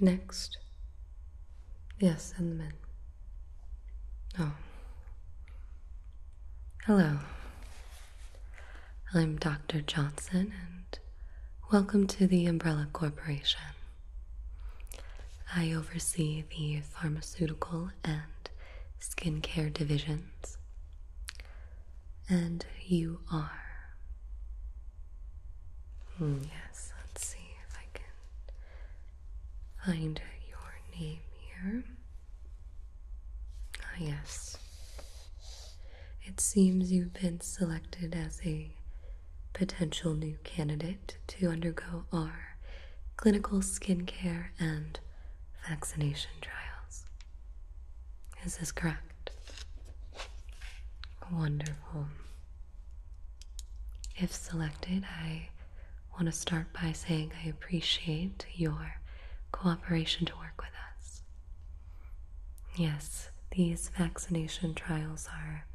Next. Yes, and the men. Oh. Hello. I'm Dr. Johnson, and welcome to the Umbrella Corporation. I oversee the pharmaceutical and skincare divisions and you are. Hmm, yes, let's see if I can find your name here. Ah, yes. It seems you've been selected as a potential new candidate to undergo our clinical skincare and vaccination trials. Is this correct? Wonderful. If selected, I want to start by saying I appreciate your cooperation to work with us. Yes, these vaccination trials are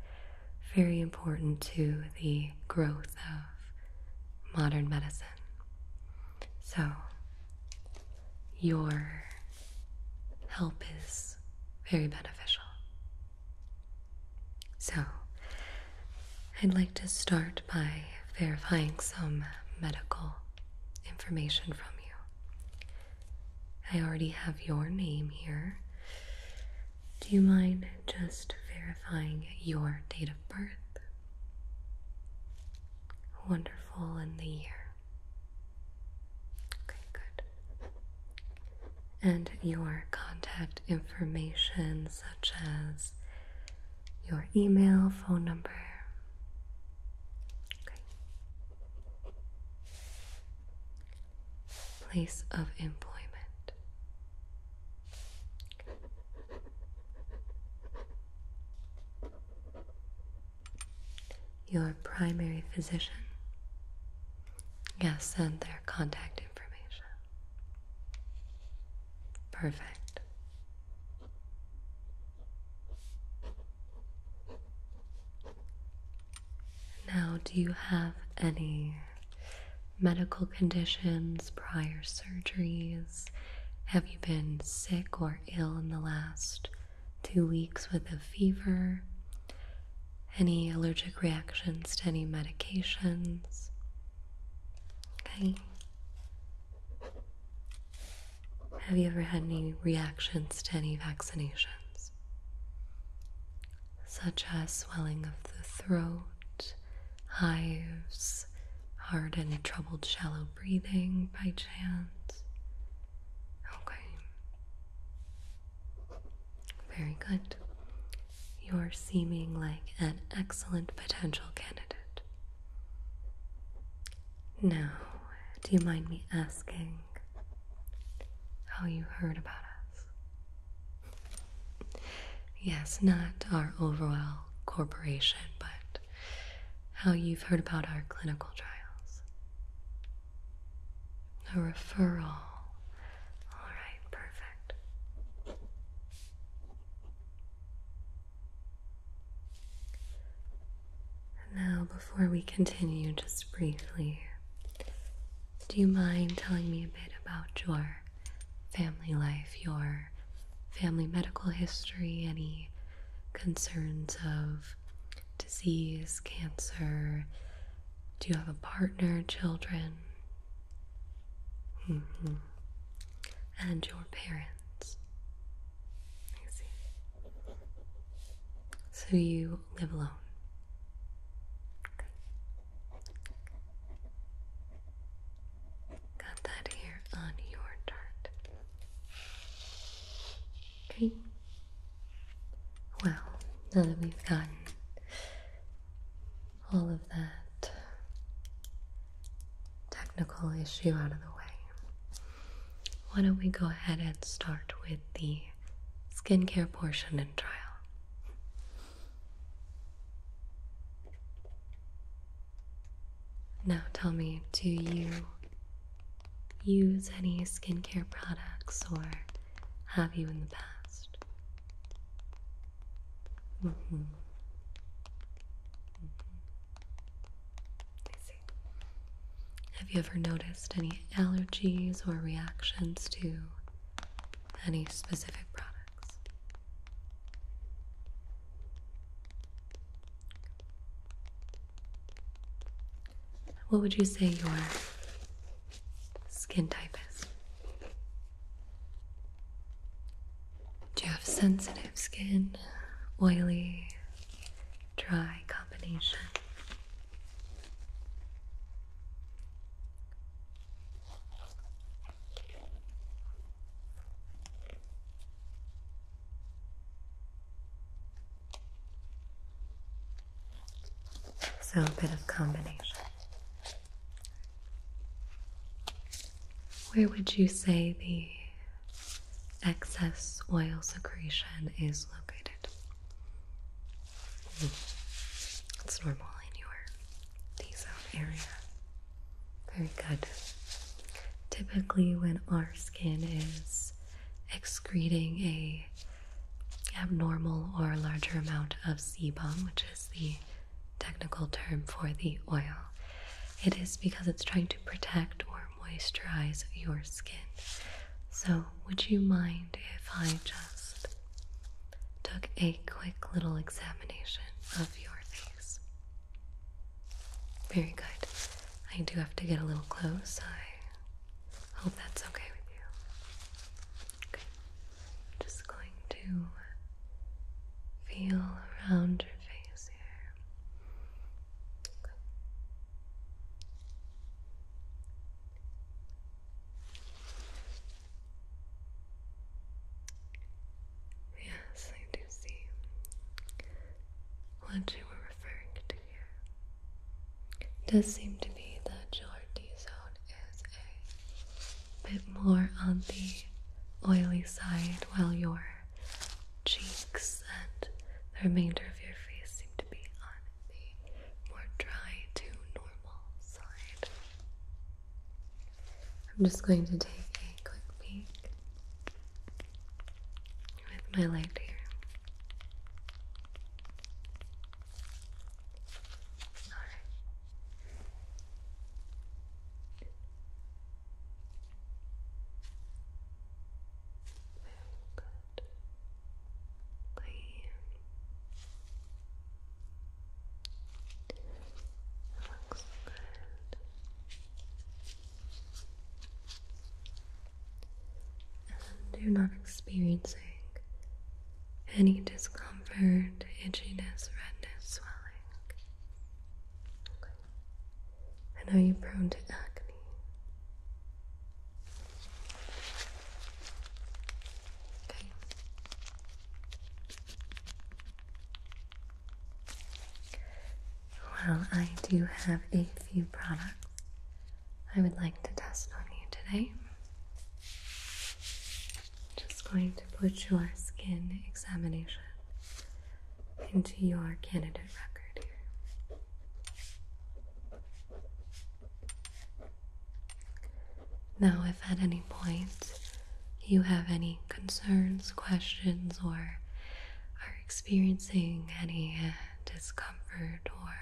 very important to the growth of modern medicine. So, your help is very beneficial. So, I'd like to start by verifying some medical information from you. I already have your name here. Do you mind just verifying your date of birth? wonderful in the year. Okay, good. And your contact information, such as your email, phone number. Place of employment your primary physician. Yes, and their contact information. Perfect. Now, do you have any medical conditions, prior surgeries? Have you been sick or ill in the last two weeks with a fever, any allergic reactions to any medications. Okay. Have you ever had any reactions to any vaccinations? Such as swelling of the throat, hives, hard and troubled shallow breathing by chance? Okay. Very good. You're seeming like an excellent potential candidate. Now, do you mind me asking how you heard about us? Yes, not our overall corporation, but how you've heard about our clinical trials. A referral. All right, perfect. Now, before we continue, just briefly, do you mind telling me a bit about your family life, your family medical history, any concerns of disease, cancer. Do you have a partner, children? Mm-hmm. And your parents. So you live alone. Got that here on your chart. Okay. Well, now that we've gotten all of that technical issue out of the way, why don't we go ahead and start with the skincare portion and trial? Now tell me, do you use any skincare products or have you in the past? Mm-hmm. Mm-hmm. Have you ever noticed any allergies or reactions to any specific products? What would you say your skin type is? Do you have sensitive skin, oily, dry combination? So a bit of combination. Where would you say the excess oil secretion is located? Mm. It's normal in your D zone area. Very good. Typically, when our skin is excreting a abnormal or larger amount of sebum, which is the technical term for the oil, it is because it's trying to protect or moisturize your skin. So, would you mind if I just took a quick little examination of your face? Very good. I do have to get a little close. I hope that's okay with you. Okay. Just going to feel around your face here. Okay. Yes, to see what you were referring to here. does seem to be that your D zone is a bit more on the oily side, while your cheeks and the remainder of your face seem to be on the more dry to normal side. I'm just going to take a quick peek with my light here. All right. Very good. Clean. Looks good and you not experiencing any discomfort, itchiness, redness, swelling. And are you prone to acne? Okay. Well, I do have a few products I would like to test on you today. Just going to put your skin examination into your candidate record here. Now, if at any point you have any concerns, questions, or are experiencing any uh, discomfort or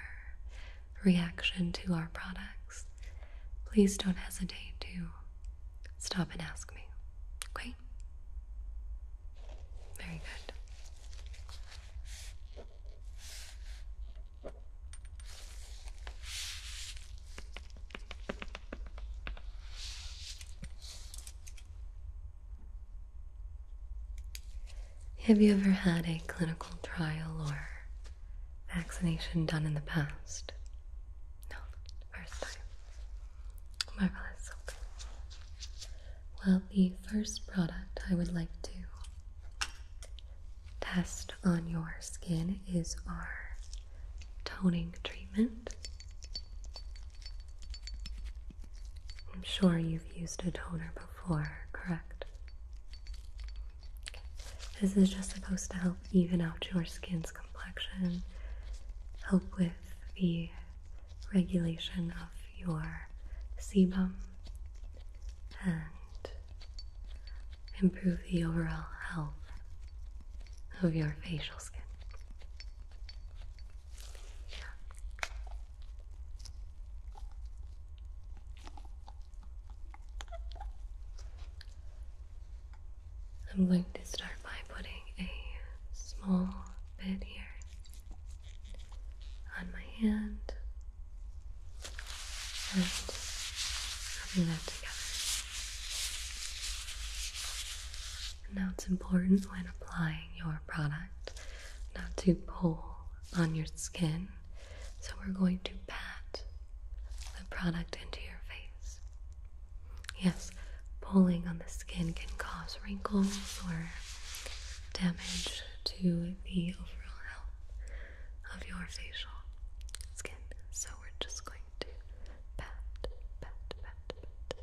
reaction to our products, please don't hesitate to stop and ask me. Okay? Very good. Have you ever had a clinical trial or vaccination done in the past? No, first time. Marvelous. Well, the first product I would like to test on your skin is our toning treatment. I'm sure you've used a toner before, correct? This is just supposed to help even out your skin's complexion, help with the regulation of your sebum, and improve the overall health of your facial skin. I'm going to start by putting a small bit here on my hand and rubbing that together. Now it's important when applying your product not to pull on your skin. So we're going to pat the product into your face. Yes, pulling on the skin can cause wrinkles or damage to the overall health of your facial skin. So we're just going to pat, pat, pat,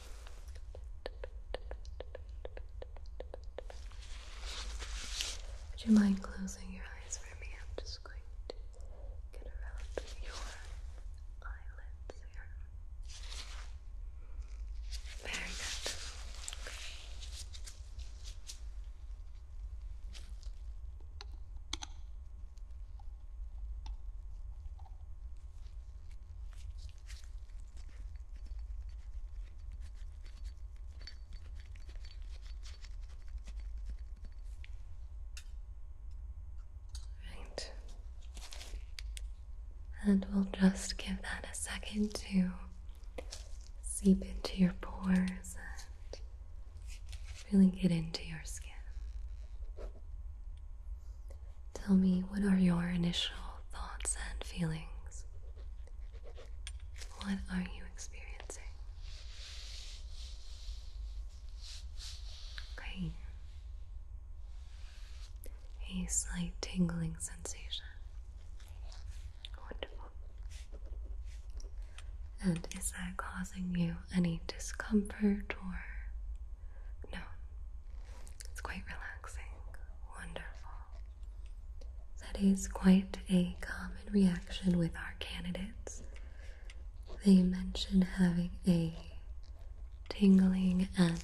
Would you mind closing your eyes for me? I'm just going to get around your eyelids here. Very good. Okay. Right. And we'll just give that a second to seep into your pores and really get into your skin. Tell me, what are your initial thoughts and feelings? What are you experiencing? Okay. A slight tingling sensation. Wonderful. And is that causing you any discomfort or no? It's quite relaxed wonderful. That is quite a common reaction with our candidates. They mention having a tingling and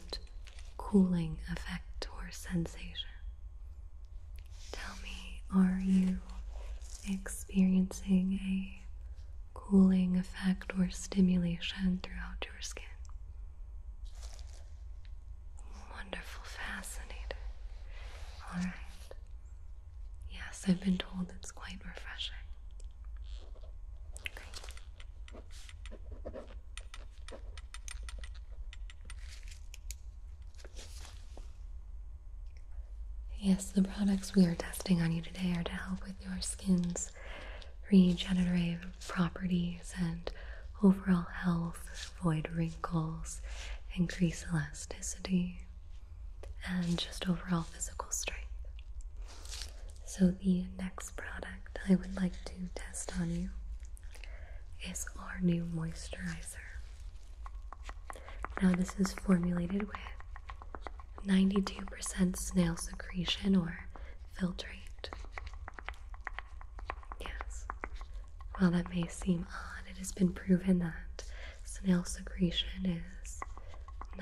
cooling effect or sensation. Tell me, are you experiencing a cooling effect or stimulation throughout your skin? Wonderful, fascinating. All right. Yes, I've been told it's quite refreshing. Yes, the products we are testing on you today are to help with your skin's regenerative properties and overall health, avoid wrinkles, increase elasticity, and just overall physical strength. So, the next product I would like to test on you is our new moisturizer. Now, this is formulated with 92% snail secretion or filtrate. Yes. While that may seem odd, it has been proven that snail secretion is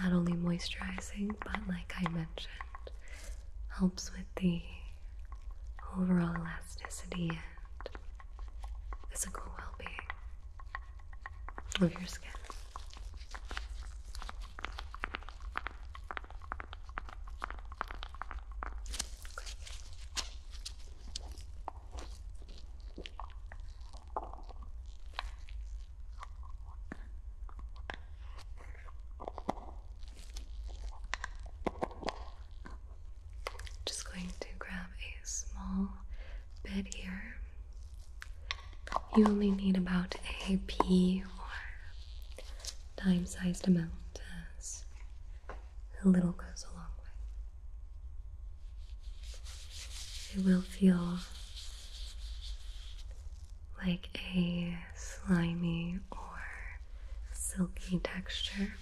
not only moisturizing, but like I mentioned, helps with the overall elasticity and physical well being of your skin. Just going to grab a small bit here. You only need about a pea or time sized amount as a little goes a long way. It will feel like a slimy or silky texture.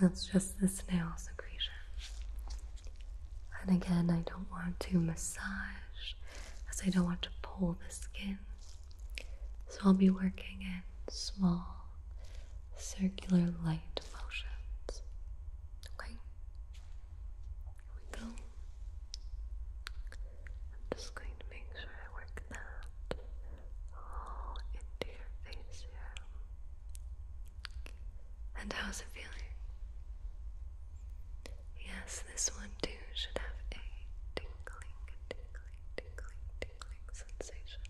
That's just the snail secretion. And again, I don't want to massage as I don't want to pull the skin. So I'll be working in small circular light motions. Okay? Here we go. I'm just going to make sure I work that all into your face here. And how's it feeling? Yes, this one too should have a tingling, tingling, tingling, sensation.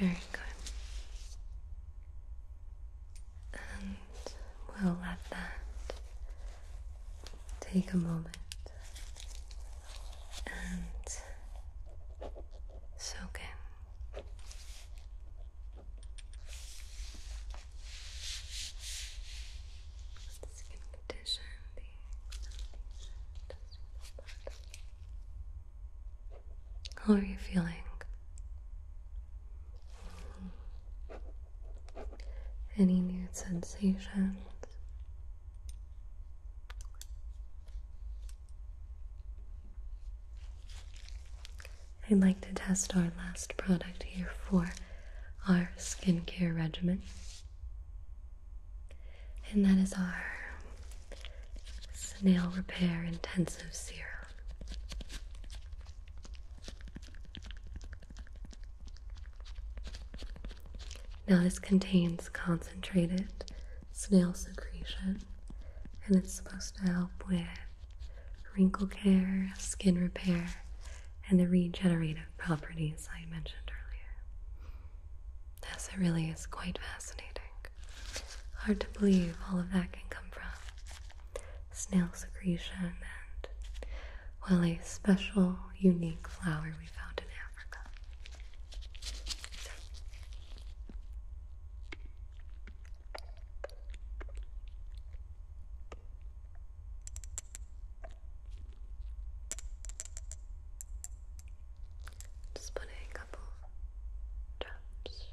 Very good. And we'll let that take a moment and soak Skin condition, how are you feeling? Any new sensations? I'd like to test our last product here for our skincare regimen, and that is our Snail Repair Intensive Serum. Now, this contains concentrated snail secretion, and it's supposed to help with wrinkle care, skin repair, and the regenerative properties I mentioned earlier. Yes, really is quite fascinating. Hard to believe all of that can come from snail secretion and, well, a special, unique flower we found in Africa. So, just putting a couple drops.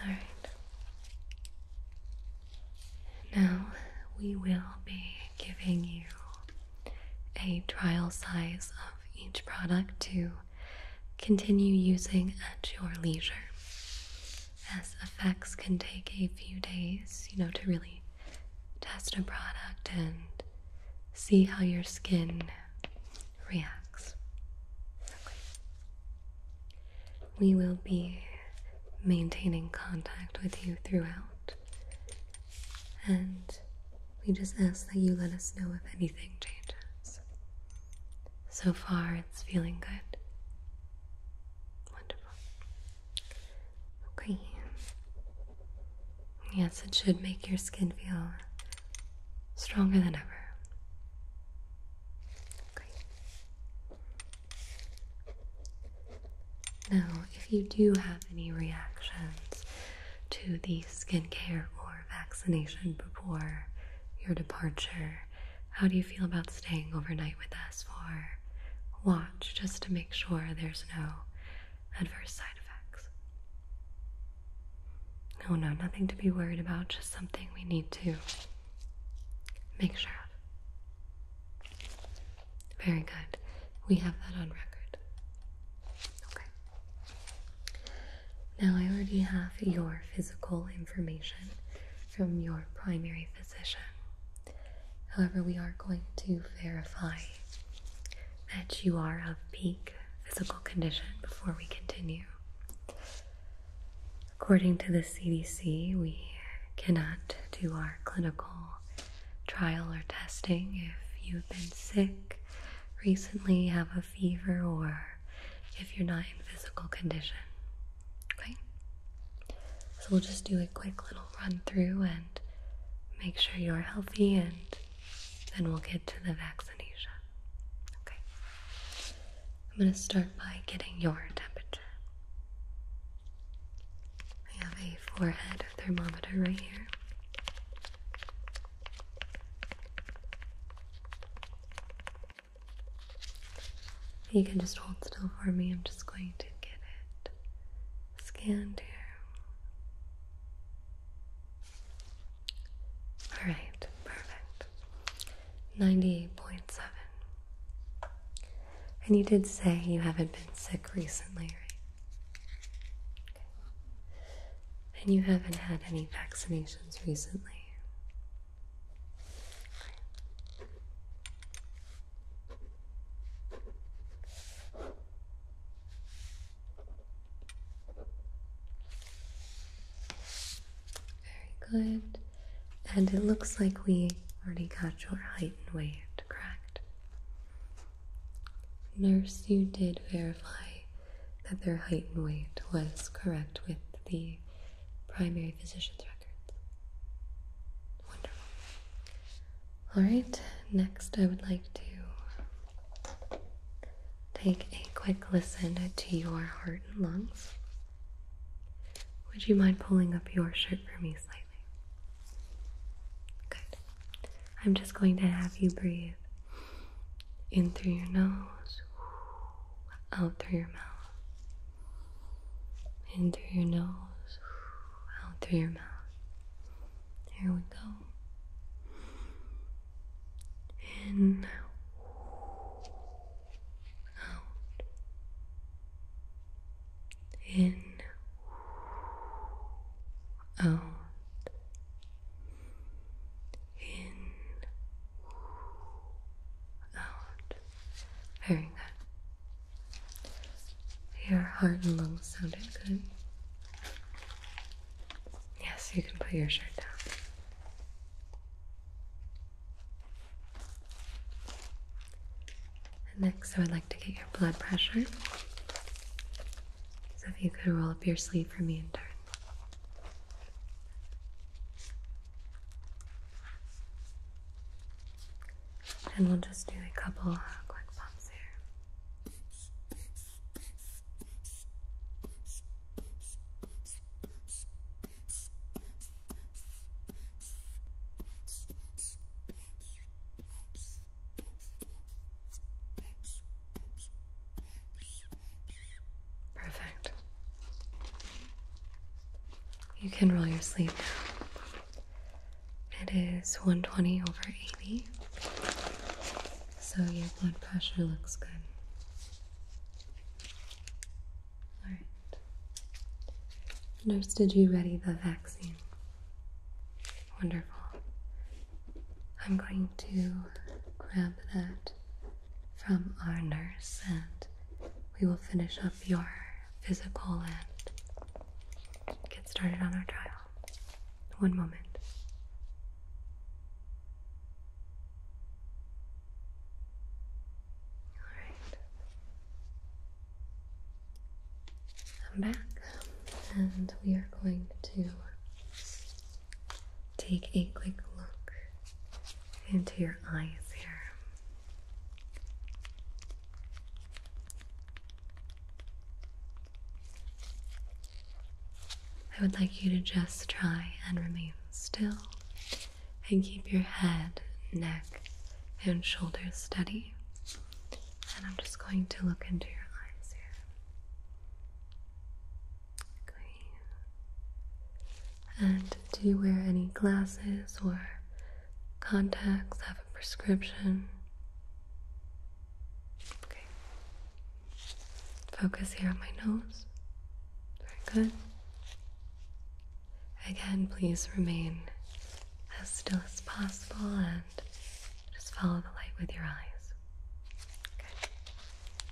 all right. Now we will be giving you a trial size of each product to continue using at your leisure as effects can take a few days, you know, to really test a product and see how your skin reacts. We will be maintaining contact with you throughout, and we just ask that you let us know if anything changes. So far, it's feeling good. Wonderful. Okay. Yes, it should make your skin feel stronger than ever. Now, if you do have any reactions to the skincare or vaccination before your departure, how do you feel about staying overnight with us for watch just to make sure there's no adverse side effects? Oh no, nothing to be worried about, just something we need to make sure of. Very good. We have that on record. Okay. Now I already have your physical information from your primary physician. However, we are going to verify that you are of peak physical condition before we continue. According to the CDC, we cannot do our clinical trial or testing if you've been sick recently, have a fever, or if you're not in physical condition. Okay? So we'll just do a quick little run through and make sure you're healthy, and then we'll get to the vaccination. Okay? I'm going to start by getting your temperature. I have a forehead thermometer right here. You can just hold still for me. I'm just going to get it scanned here. Alright, perfect. 98.7. And you did say you haven't been sick recently, right? And you haven't had any vaccinations recently. Very good. And it looks like we already got your height and weight correct. Nurse, you did verify that their height and weight was correct with the primary physician's records. Wonderful. All right, next I would like to take a quick listen to your heart and lungs. Would you mind pulling up your shirt for me slightly? Good. I'm just going to have you breathe in through your nose out through your mouth, in through your nose, out through your mouth. Here we go. In, out, in, out, in, out. Very good. Your heart and lungs sounded good. Yes, you can put your shirt down. next, I would like to get your blood pressure. So if you could roll up your sleeve for me in turn. And we'll just do a couple uh, quick pumps here. Perfect. You can roll your sleeve It is 120 over 80. So your blood pressure looks good. Alright. Nurse, did you ready the vaccine? Wonderful. I'm going to grab that from our nurse, and we will finish up your physical and get started on our trial. One moment. All right. I'm back, and we are going to take a quick look into your eyes here. I would like you to just try and remain still and keep your head, neck, and shoulders steady. And I'm just going to look into your eyes here. And do you wear any glasses or contacts? Have a prescription? Okay. Focus here on my nose. Very good. Again, please remain as still as possible and just follow the light with your eyes. Okay.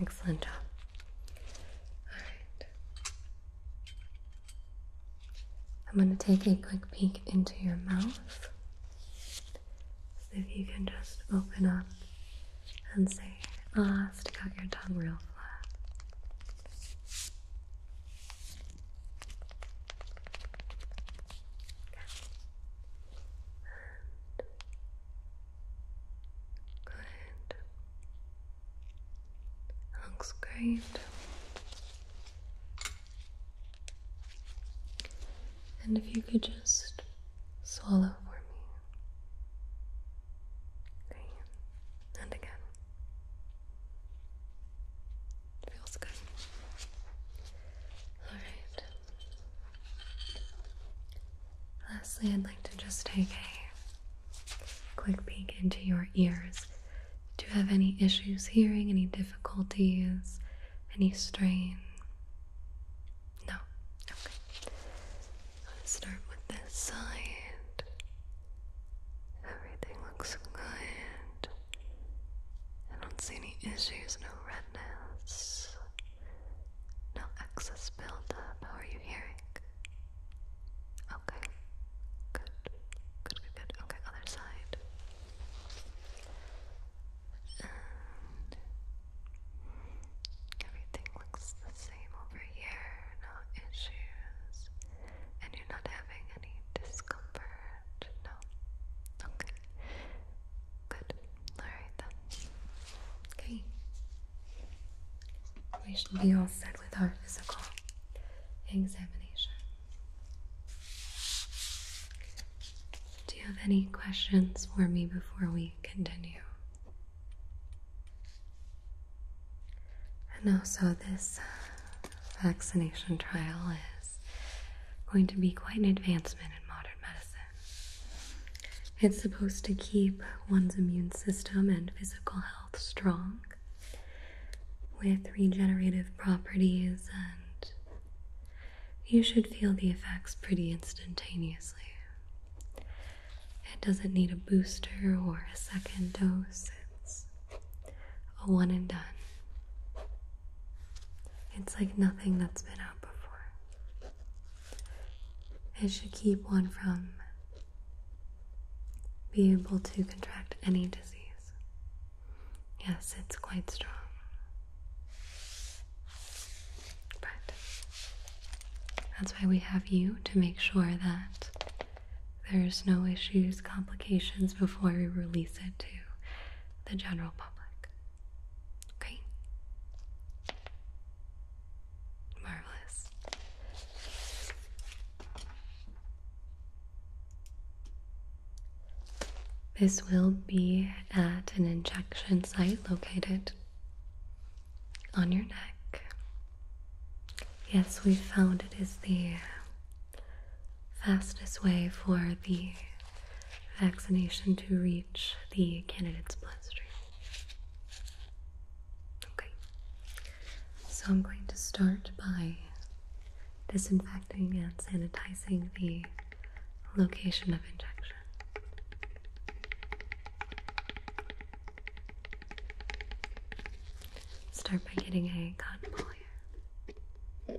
Excellent job. All right. I'm going to take a quick peek into your mouth. if you can just open up and say, ah, stick out your tongue real flat. Good. Looks great. And if you could just swallow for me. Okay. And again. Feels good. Alright. Lastly, I'd like to just take a quick peek into your ears. Do you have any issues hearing, any difficulties, any strain? No? Okay. I'm start with this side. Everything looks good. I don't see any issues, no redness. No excess buildup. How are you hearing? Okay. Good. Good, good, good. Okay, other side. everything looks the same over here. No issues. And you're not having any discomfort. No. Okay. Good. Alright then. Okay. We should be all set with our physical examination. Do you have any questions for me before we continue? And also, this uh, vaccination trial is going to be quite an advancement in modern medicine. It's supposed to keep one's immune system and physical health strong with regenerative properties, and you should feel the effects pretty instantaneously. It doesn't need a booster or a second dose, it's a one and done. It's like nothing that's been out before. It should keep one from being able to contract any disease. Yes, it's quite strong. But that's why we have you to make sure that there's no issues, complications before we release it to the general public. Okay. Marvelous. This will be at an injection site located on your neck. Yes, we found it is the fastest way for the vaccination to reach the candidate's bloodstream. Okay, so I'm going to start by disinfecting and sanitizing the location of injection. Start by getting a cotton ball here.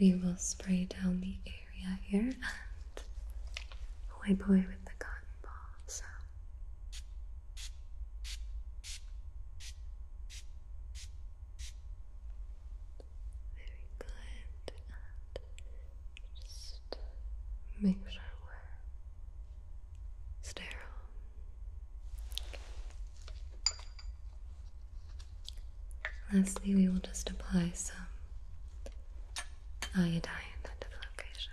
We will spray down the area here and wipe away with the cotton ball. So. Very good. just make sure we're sterile. Lastly, we will just apply some iodine into the location.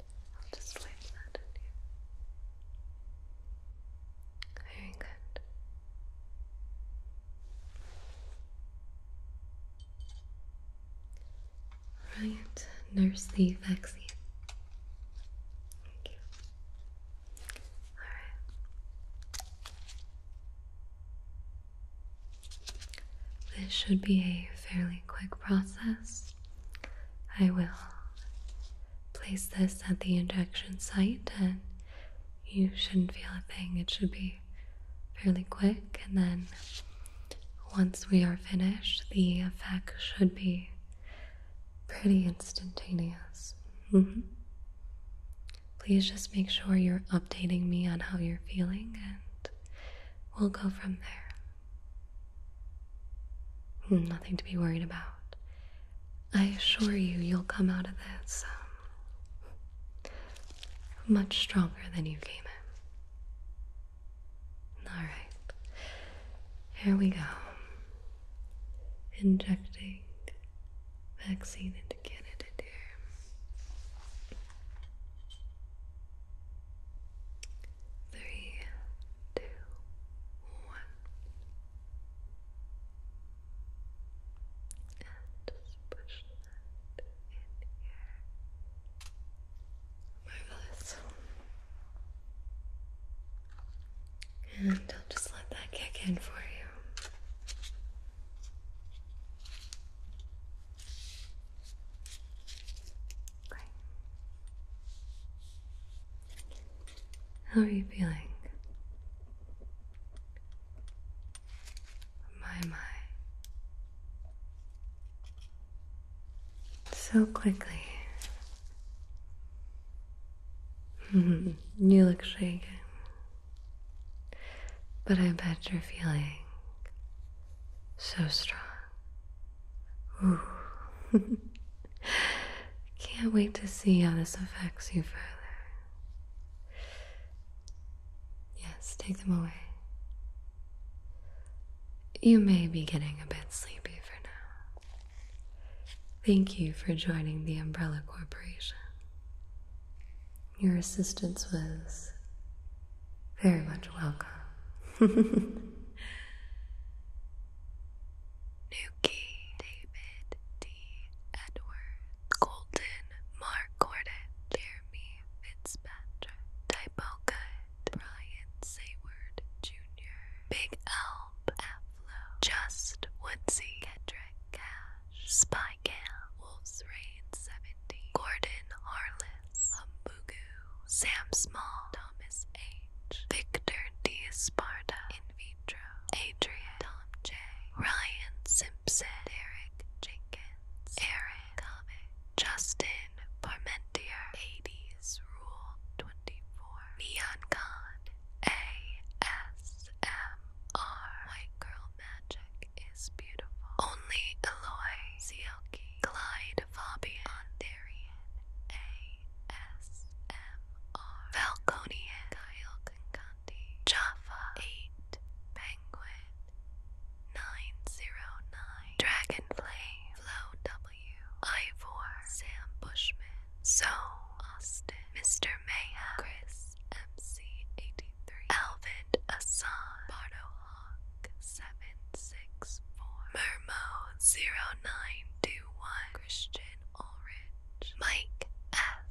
I'll just wipe that here. Very good. Right, nurse the vaccine. Alright. This should be a fairly quick process. I will place this at the injection site and you shouldn't feel a thing. It should be fairly quick, and then once we are finished, the effect should be pretty instantaneous. Mm-hmm. Please just make sure you're updating me on how you're feeling, and we'll go from there. Nothing to be worried about. I assure you, you'll come out of this um, much stronger than you came in. Alright, here we go. Injecting vaccine into Canada, dear. Three, two, one. And just push that in here. Marvelous. And I'll just let that kick in for you. How are you feeling? My, my. So quickly. you look shaken. But I bet you're feeling so strong Can't wait to see how this affects you further. Yes, take them away. You may be getting a bit sleepy for now. Thank you for joining the Umbrella Corporation. Your assistance was very much welcome. Nuki, David D. Edward, Golden, Mark Gordon, Jeremy Fitzpatrick, Typo Good, Brian Sayward Jr., Big Elm, Aflo, Just Woodsy, Kendrick Cash, Spy Cam, Wolf's Rain Gordon Harless, Humbugu, Sam Small, Thomas H. Victor D. Sparta. In vitro. Adrian. Tom J. Ryan Simpson. Derek Jenkins. Aaron Justin Parmentier. 80s Rule 24. Neon Con. ASMR. White Girl Magic is beautiful. Only Eloy. Sielke. Clyde Fabian. Darian A. ASMR Kyle Concanti Jaffa 8 Penguin 909 Dragonfly Flow W Ivor Sam Bushman So Austin Mr. Mayhem Chris MC83 Alvin Assan Bardo Hawk 764 Mermo 09 921 Christian Ulrich, Mike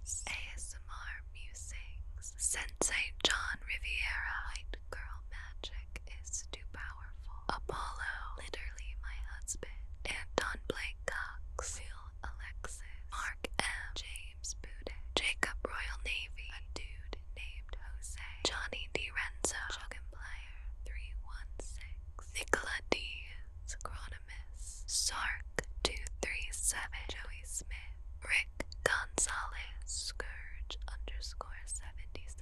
S. ASMR Musings, Sensei John Riviera, White Girl Magic is too powerful, Apollo, literally my husband, Anton Blake Cox, Will Alexis, Mark M. James Bude, Jacob Royal Navy, a dude named Jose, Johnny DiRenzo, Chuck and Play, 316, Nicola Dees, Chronomus, Sark 237, Joey Smith, Rick Gonzalez, Scourge underscore 77,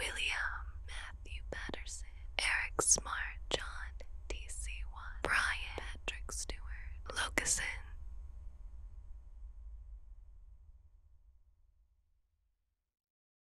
William Matthew Patterson, Eric Smart, John DC1, Brian Patrick Stewart, Locuson.